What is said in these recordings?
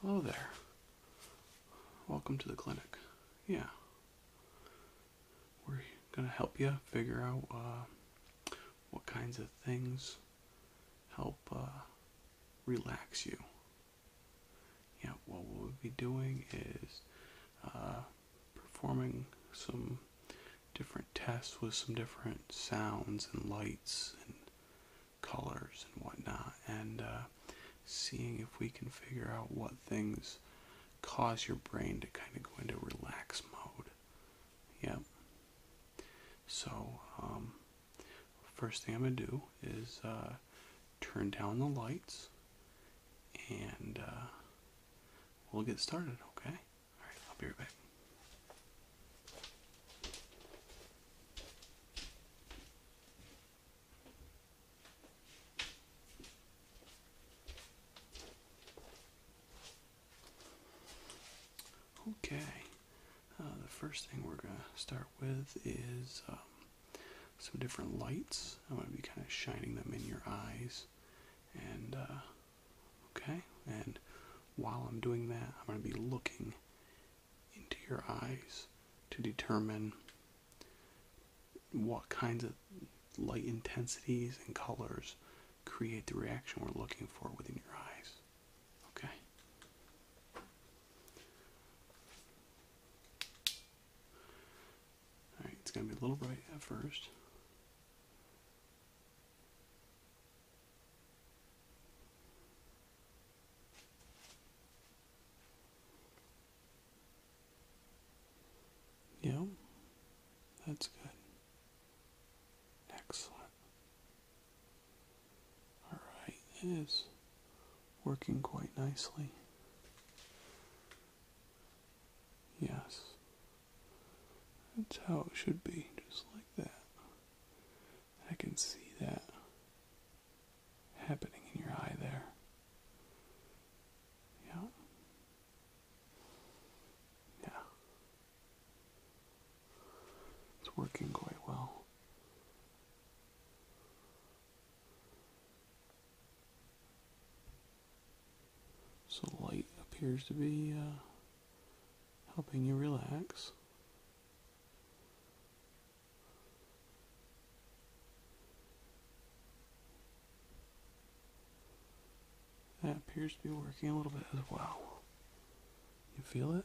Hello there. Welcome to the clinic. Yeah. We're going to help you figure out uh, what kinds of things help uh, relax you. Yeah, what we'll be doing is uh, performing some different tests with some different sounds and lights and colors and whatnot, and uh, seeing if we can figure out what things cause your brain to kind of go into relax mode. Yep. So, um, First thing I'm going to do is uh, turn down the lights and uh, we'll get started, okay? Alright, I'll be right back. Okay, uh, the first thing we're going to start with is um, some different lights. I'm going to be kind of shining them in your eyes. And, uh, okay, and while I'm doing that, I'm going to be looking into your eyes to determine what kinds of light intensities and colors create the reaction we're looking for within your eyes. Okay. Alright, it's going to be a little bright at first. Yep, yeah, that's good. Excellent. Alright, it is working quite nicely. Yes. That's how it should be, just like that. I can see that happening in your eye there. Yeah. Yeah. It's working quite well. So light appears to be uh, helping you relax. That appears to be working a little bit as well. You feel it?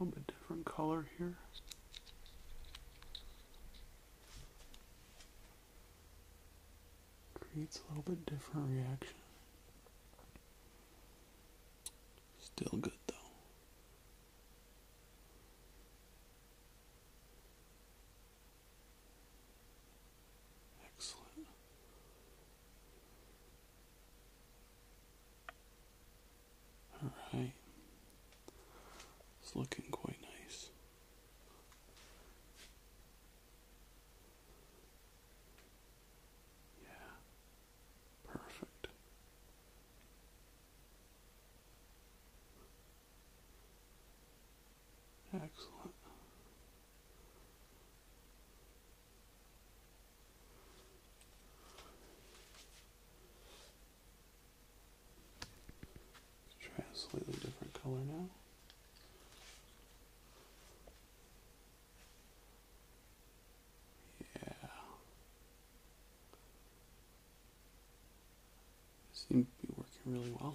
A little bit different color here. Creates a little bit different reaction. Still good though. Excellent. Alright. It's looking quite nice. Yeah. Perfect. Excellent. Try a slightly different color now. Yeah. Seems to be working really well.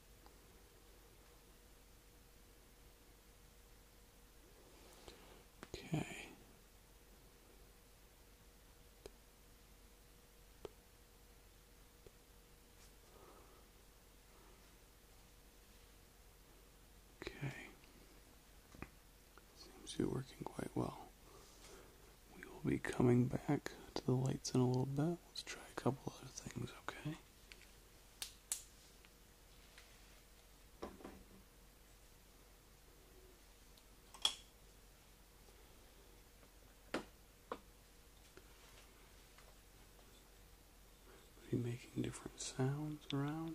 Okay. Okay. Seems to be working quite well. We will be coming back to the lights in a little bit. Let's try a couple other things, okay? Be making different sounds around.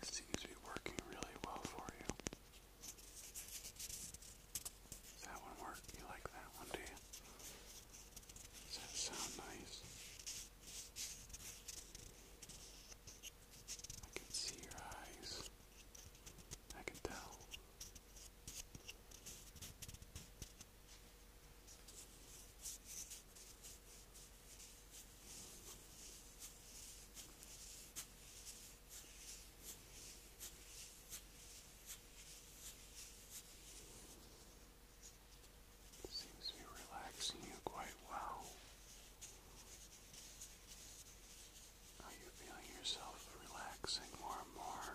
This seems to be working really well for you. Does that one work? You like that one, do you? Does that sound nice? I can see your eyes. I can tell. Seems to be relaxing you quite well. Are you feeling yourself relaxing more and more?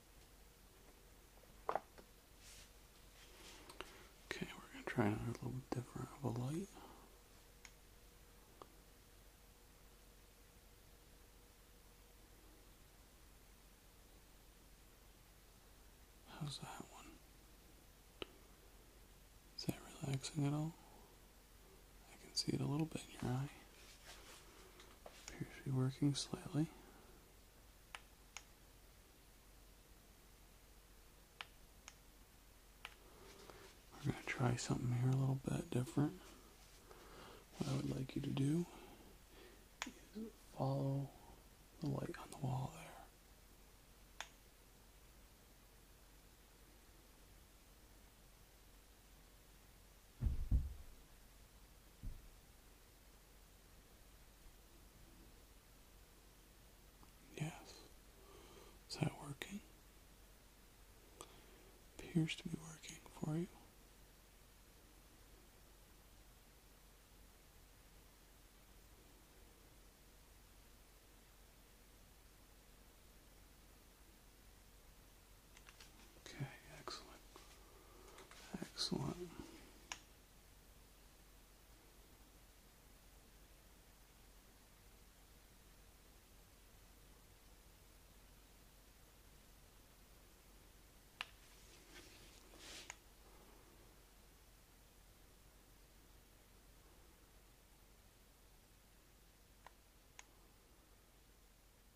Okay, we're going to try another little different of a light. How's that one? Is that relaxing at all? I can see it a little bit in your eye. Appears to be working slightly. We're going to try something here a little bit different. What I would like you to do is follow the light on the wall there. Yes. Is that working? Appears to be working for you. Okay, excellent. Excellent.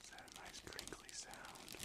Is that a nice crinkly sound?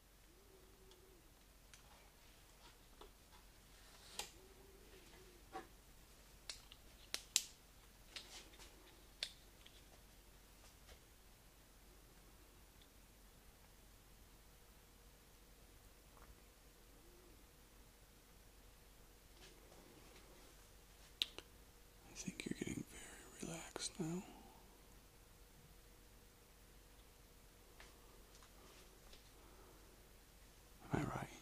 I think you're getting very relaxed now. Am I right?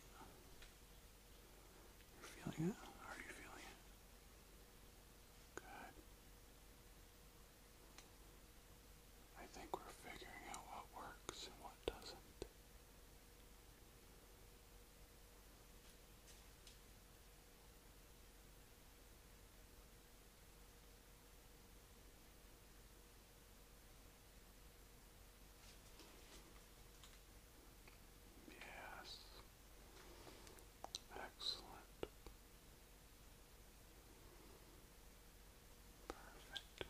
You're feeling it? Are you feeling it? Good. I think we're figuring out what works and what doesn't. Yes. Excellent. Perfect. Good.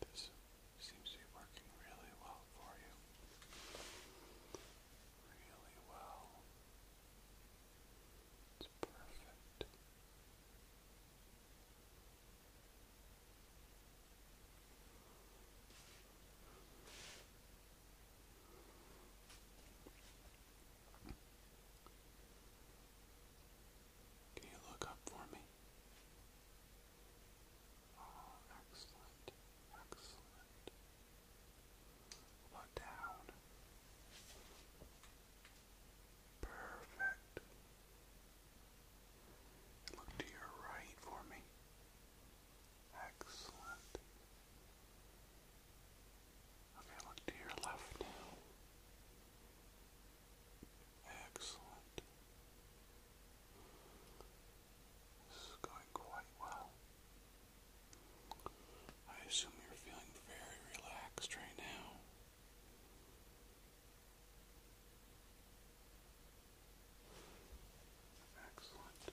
This seems to be working really well for you. Really well. It's perfect. Can you look up for me? Oh, excellent, excellent. What down? Perfect. Look to your right for me. Excellent. Okay, look to your left now. Excellent. This is going quite well. I assume you're feeling very relaxed right now. Excellent.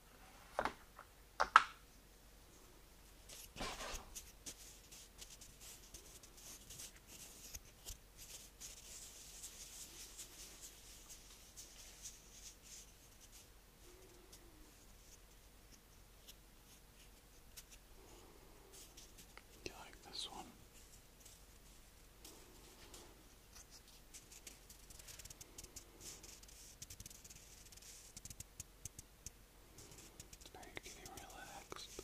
Do you like this one? Now you're getting relaxed. Now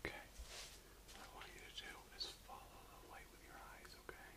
Okay. What I want you to do is follow the light with your eyes, okay?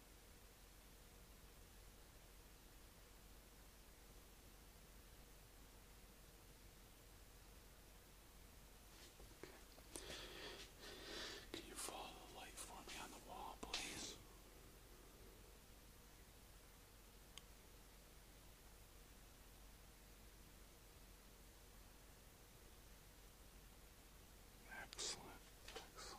Can you follow the light for me on the wall, please? Excellent, excellent.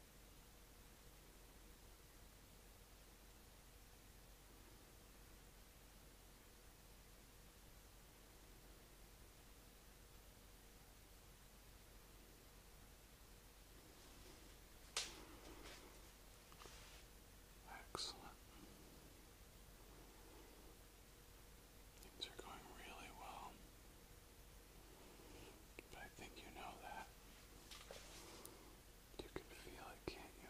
Excellent. Things are going really well. But I think you know that. You can feel it, can't you?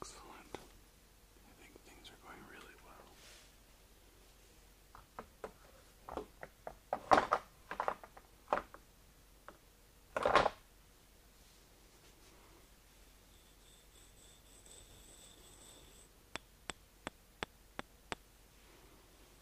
Excellent. I think things are going really well.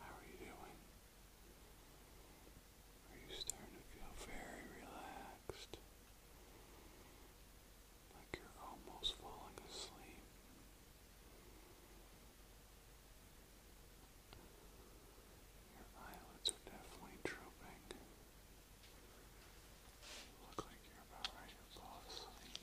How are you doing? Are you starting to feel very relaxed? like you're almost falling asleep. Your eyelids are definitely drooping. You look like you're about ready to fall asleep.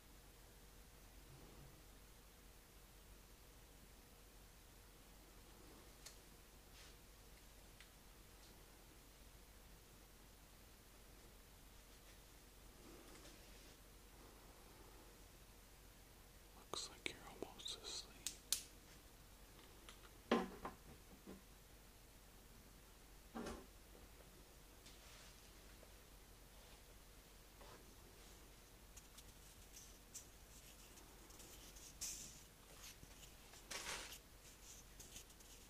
Looks like you're almost asleep.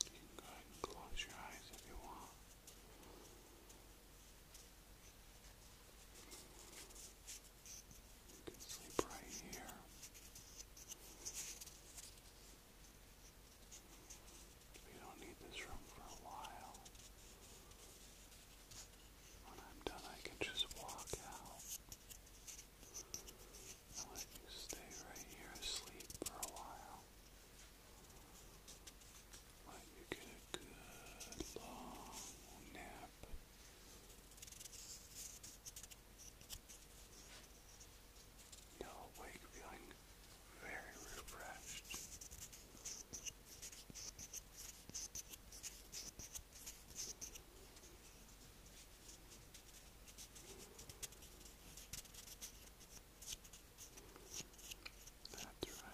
You can go ahead and close your eyes if you want. You can sleep right here. We don't need this room for a while. When I'm done, I can just walk out. And let you stay right here asleep for a while. Let you get a good long nap. you wake feeling very refreshed. That's right, go ahead.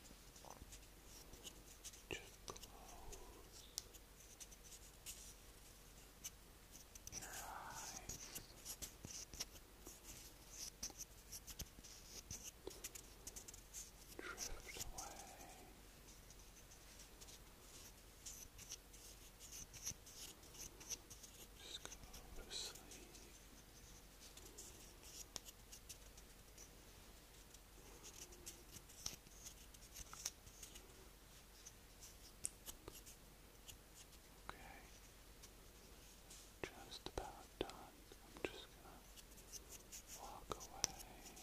Just close your eyes. Drift away. Just go to sleep. Okay just about done. I'm just gonna walk away and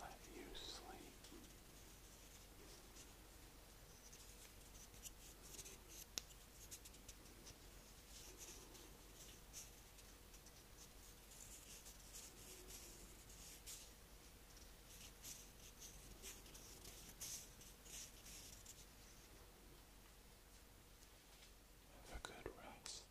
let you sleep. Have a good rest.